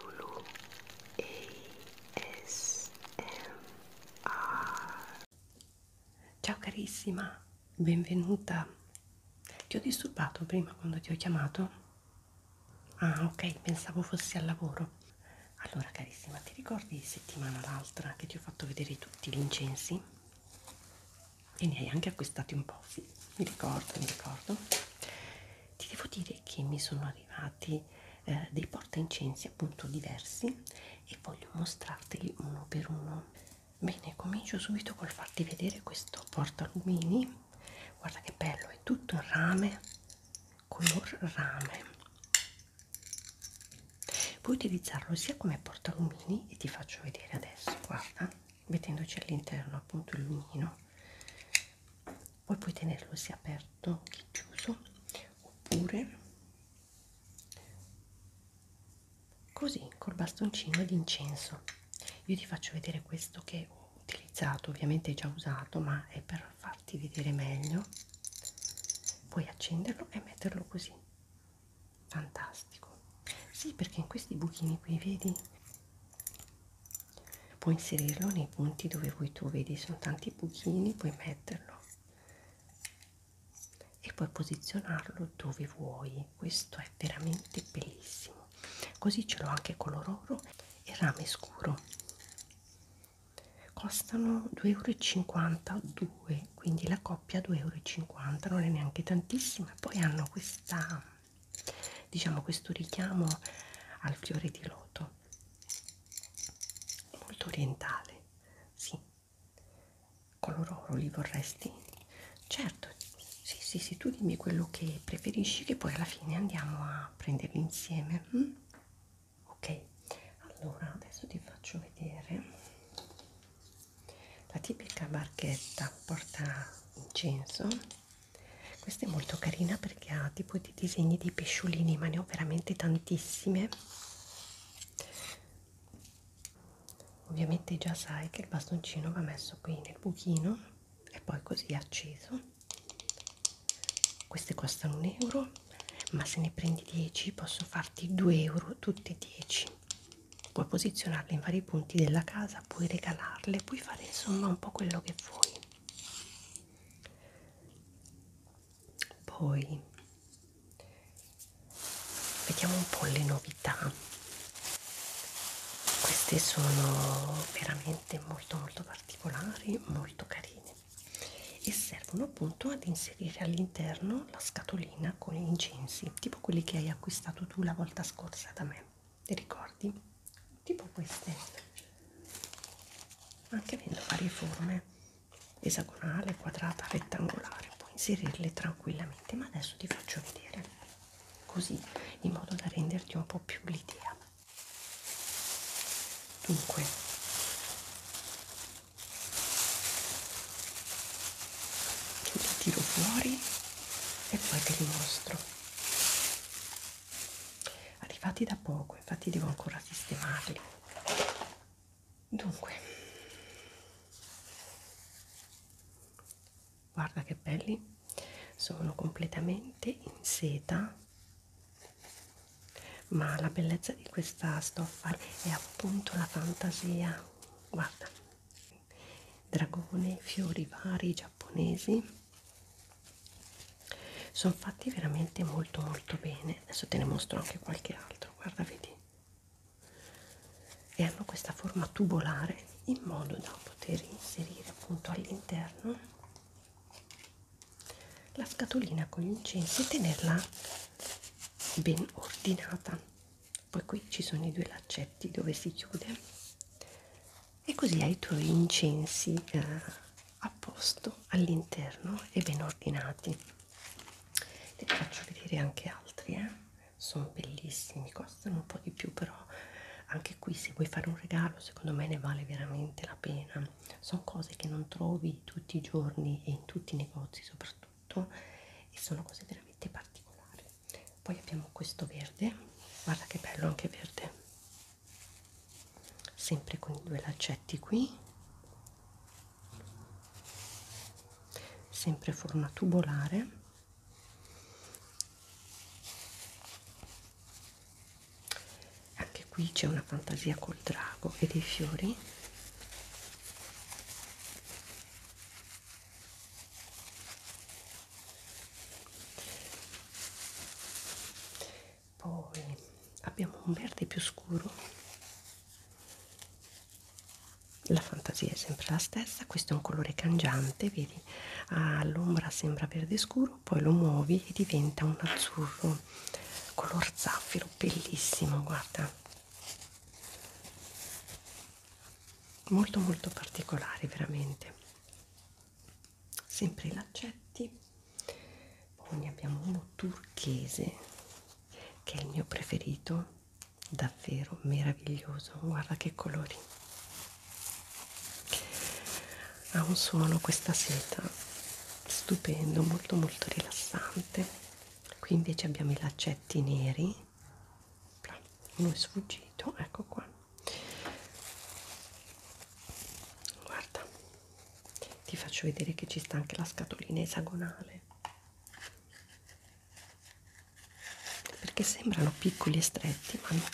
Lulu ASMR Ciao carissima, benvenuta. Ti ho disturbato prima quando ti ho chiamato? Ah, ok, pensavo fossi al lavoro. Allora, carissima, ti ricordi settimana l'altra che ti ho fatto vedere tutti gli incensi? E ne hai anche acquistati un po', sì, mi ricordo, mi ricordo ti devo dire che mi sono arrivati eh, dei portaincensi appunto diversi e voglio mostrarteli uno per uno bene comincio subito col farti vedere questo portalumini guarda che bello è tutto in rame color rame puoi utilizzarlo sia come portalumini e ti faccio vedere adesso guarda mettendoci all'interno appunto il lumino poi puoi tenerlo sia aperto che chiuso oppure così col bastoncino d'incenso io ti faccio vedere questo che ho utilizzato ovviamente è già usato ma è per farti vedere meglio puoi accenderlo e metterlo così fantastico sì perché in questi buchini qui vedi puoi inserirlo nei punti dove vuoi tu vedi sono tanti buchini puoi metterlo e puoi posizionarlo dove vuoi questo è veramente bellissimo così ce l'ho anche color oro e rame scuro costano 2,52 euro quindi la coppia 2,50 euro non è neanche tantissima poi hanno questa diciamo questo richiamo al fiore di loto molto orientale sì color oro li vorresti certo sì sì sì tu dimmi quello che preferisci che poi alla fine andiamo a prenderli insieme mm? ok allora adesso ti faccio vedere la tipica barchetta porta incenso questa è molto carina perché ha tipo di disegni di pesciolini ma ne ho veramente tantissime ovviamente già sai che il bastoncino va messo qui nel buchino e poi così acceso queste costano un euro ma se ne prendi 10 posso farti 2 euro tutte 10 puoi posizionarle in vari punti della casa casa puoi regalarle puoi fare insomma un po' quello che vuoi poi vediamo un po' le novità queste sono veramente molto molto particolari molto carine e servono appunto ad inserire all'interno la scatolina con gli incensi tipo quelli che hai acquistato tu la volta scorsa da me ti ricordi? Tipo queste, anche avendo varie forme, esagonale, quadrata, rettangolare, puoi inserirle tranquillamente. Ma adesso ti faccio vedere così in modo da renderti un po' più l'idea. Dunque, li tiro fuori e poi te li mostro arrivati da poco infatti devo ancora sistemarli dunque guarda che belli sono completamente in seta ma la bellezza di questa stoffa è appunto la fantasia guarda dragone fiori vari giapponesi sono fatti veramente molto molto bene adesso te ne mostro anche qualche altro guarda vedi e hanno questa forma tubolare in modo da poter inserire appunto all'interno la scatolina con gli incensi e tenerla ben ordinata poi qui ci sono i due laccetti dove si chiude e così hai i tuoi incensi eh, a posto all'interno e ben ordinati te ne faccio vedere anche altri eh? sono bellissimi costano un po' di più però anche qui se vuoi fare un regalo secondo me ne vale veramente la pena sono cose che non trovi tutti i giorni e in tutti i negozi soprattutto e sono cose veramente particolari poi abbiamo questo verde guarda che bello anche verde sempre con i due laccetti qui sempre forma tubolare anche qui c'è una fantasia col drago e dei fiori poi abbiamo un verde più scuro la fantasia è sempre la stessa questo è un colore cangiante vedi all'ombra ah, sembra verde scuro poi lo muovi e diventa un azzurro color zaffiro bellissimo guarda molto molto particolare veramente sempre i laccetti poi ne abbiamo uno turchese che è il mio preferito davvero meraviglioso guarda che colori ha un suono questa seta stupendo molto molto rilassante qui invece abbiamo i laccetti neri Bla. uno è sfuggito ecco qua guarda ti faccio vedere che ci sta anche la scatolina esagonale perché sembrano piccoli e stretti ma no.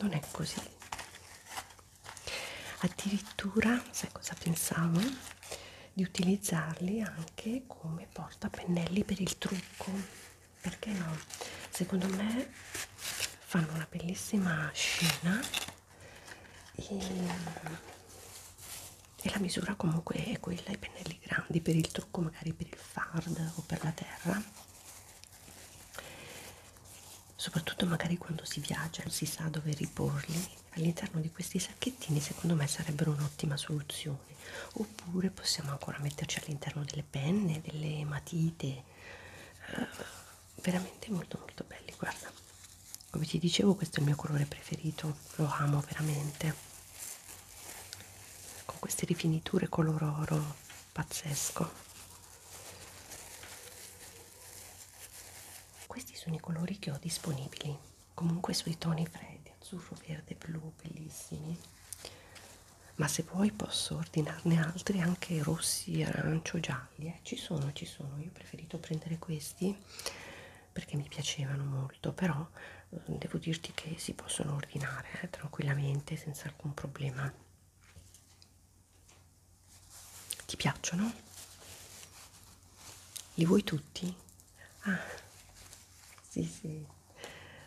non è così addirittura sai cosa pensavo di utilizzarli anche come portapennelli per il trucco perché no? Secondo me fanno una bellissima scena e, e la misura comunque è quella, i pennelli grandi per il trucco, magari per il fard o per la terra. Soprattutto magari quando si viaggia, non si sa dove riporli. All'interno di questi sacchettini secondo me sarebbero un'ottima soluzione colore oppure possiamo ancora metterci all'interno delle penne delle matite eh, veramente molto molto belli guarda come ti dicevo questo è il mio colore preferito lo amo veramente con queste rifiniture color oro pazzesco questi sono i colori che ho disponibili comunque sui toni freddi azzurro, verde, blu, bellissimi. Ma se vuoi posso ordinarne altri anche rossi, arancio, gialli. Eh. Ci sono, ci sono. Io ho preferito prendere questi perché mi piacevano molto, però eh, devo dirti che si possono ordinare eh, tranquillamente senza alcun problema. Ti piacciono? Li vuoi tutti? Ah, sì, sì,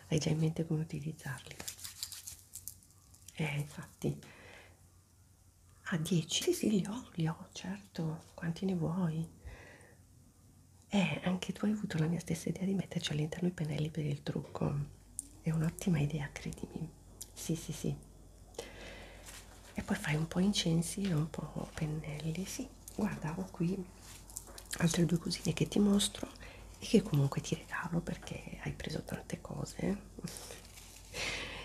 hai già in mente come utilizzarli. Eh, infatti. Ah, 10? Sì, sì, li ho, li ho, certo. Quanti ne vuoi? Eh, anche tu hai avuto la mia stessa idea di metterci all'interno i pennelli per il trucco. È un'ottima idea, credimi. Sì, sì, sì. E poi fai un po' incensi e un po' pennelli, sì guardavo qui altre due cosine che ti mostro e che comunque ti regalo perché hai preso tante cose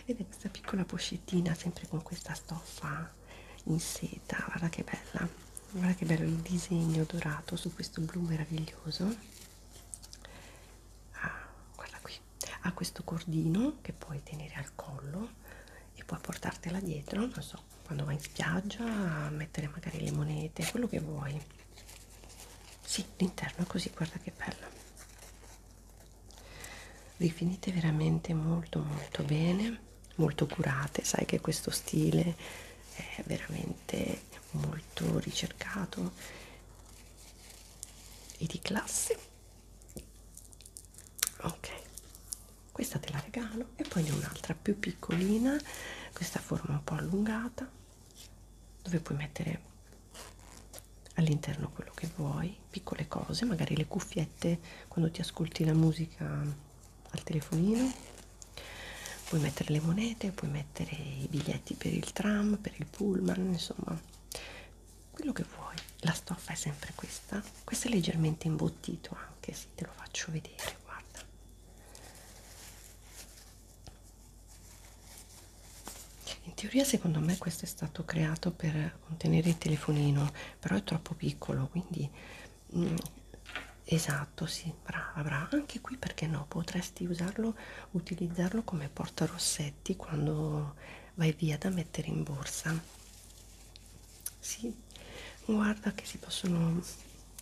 ed è questa piccola pochettina sempre con questa stoffa in seta guarda che bella guarda che bello il disegno dorato su questo blu meraviglioso ah, guarda qui ha questo cordino che puoi tenere al collo e puoi portartela dietro non so quando vai in spiaggia a mettere magari le monete, quello che vuoi. Sì, l'interno è così, guarda che bella. Rifinite veramente molto molto bene, molto curate, sai che questo stile è veramente molto ricercato e di classe. Ok, questa te la regalo e poi ne ho un'altra più piccolina questa forma un po' allungata dove puoi mettere all'interno quello che vuoi piccole cose magari le cuffiette quando ti ascolti la musica al telefonino puoi mettere le monete puoi mettere i biglietti per il tram per il pullman insomma quello che vuoi la stoffa è sempre questa questo è leggermente imbottito anche se te lo faccio vedere guarda in teoria secondo me questo è stato creato per contenere il telefonino, però è troppo piccolo, quindi mm, esatto, sì, brava, brava. Anche qui perché no, potresti usarlo, utilizzarlo come portarossetti quando vai via da mettere in borsa. Sì, guarda che si possono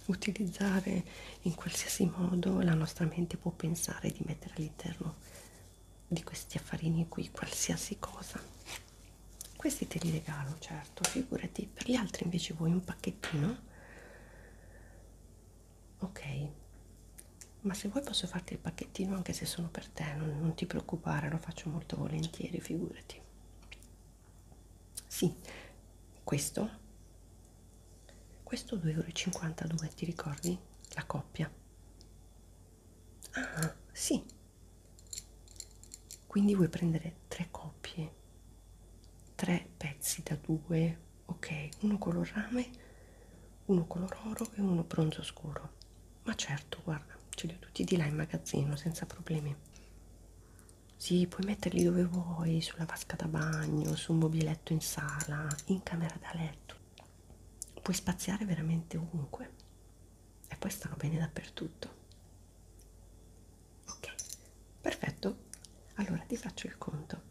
utilizzare in qualsiasi modo, la nostra mente può pensare di mettere all'interno di questi affarini qui qualsiasi cosa. Questi te li regalo, certo, figurati, per gli altri invece vuoi un pacchettino? Ok, ma se vuoi posso farti il pacchettino anche se sono per te, non, non ti preoccupare, lo faccio molto volentieri, figurati. Sì, questo. Questo 2,52 euro, ti ricordi? La coppia. Ah, sì. Quindi vuoi prendere tre coppie, tre pezzi da due, ok, uno color rame, uno color oro e uno bronzo scuro. Ma certo, guarda, ce li ho tutti di là in magazzino senza problemi. Sì, puoi metterli dove vuoi, sulla vasca da bagno, su un mobiletto in sala, in camera da letto. Puoi spaziare veramente ovunque e poi stanno bene dappertutto. Ok, perfetto. Allora ti faccio il conto.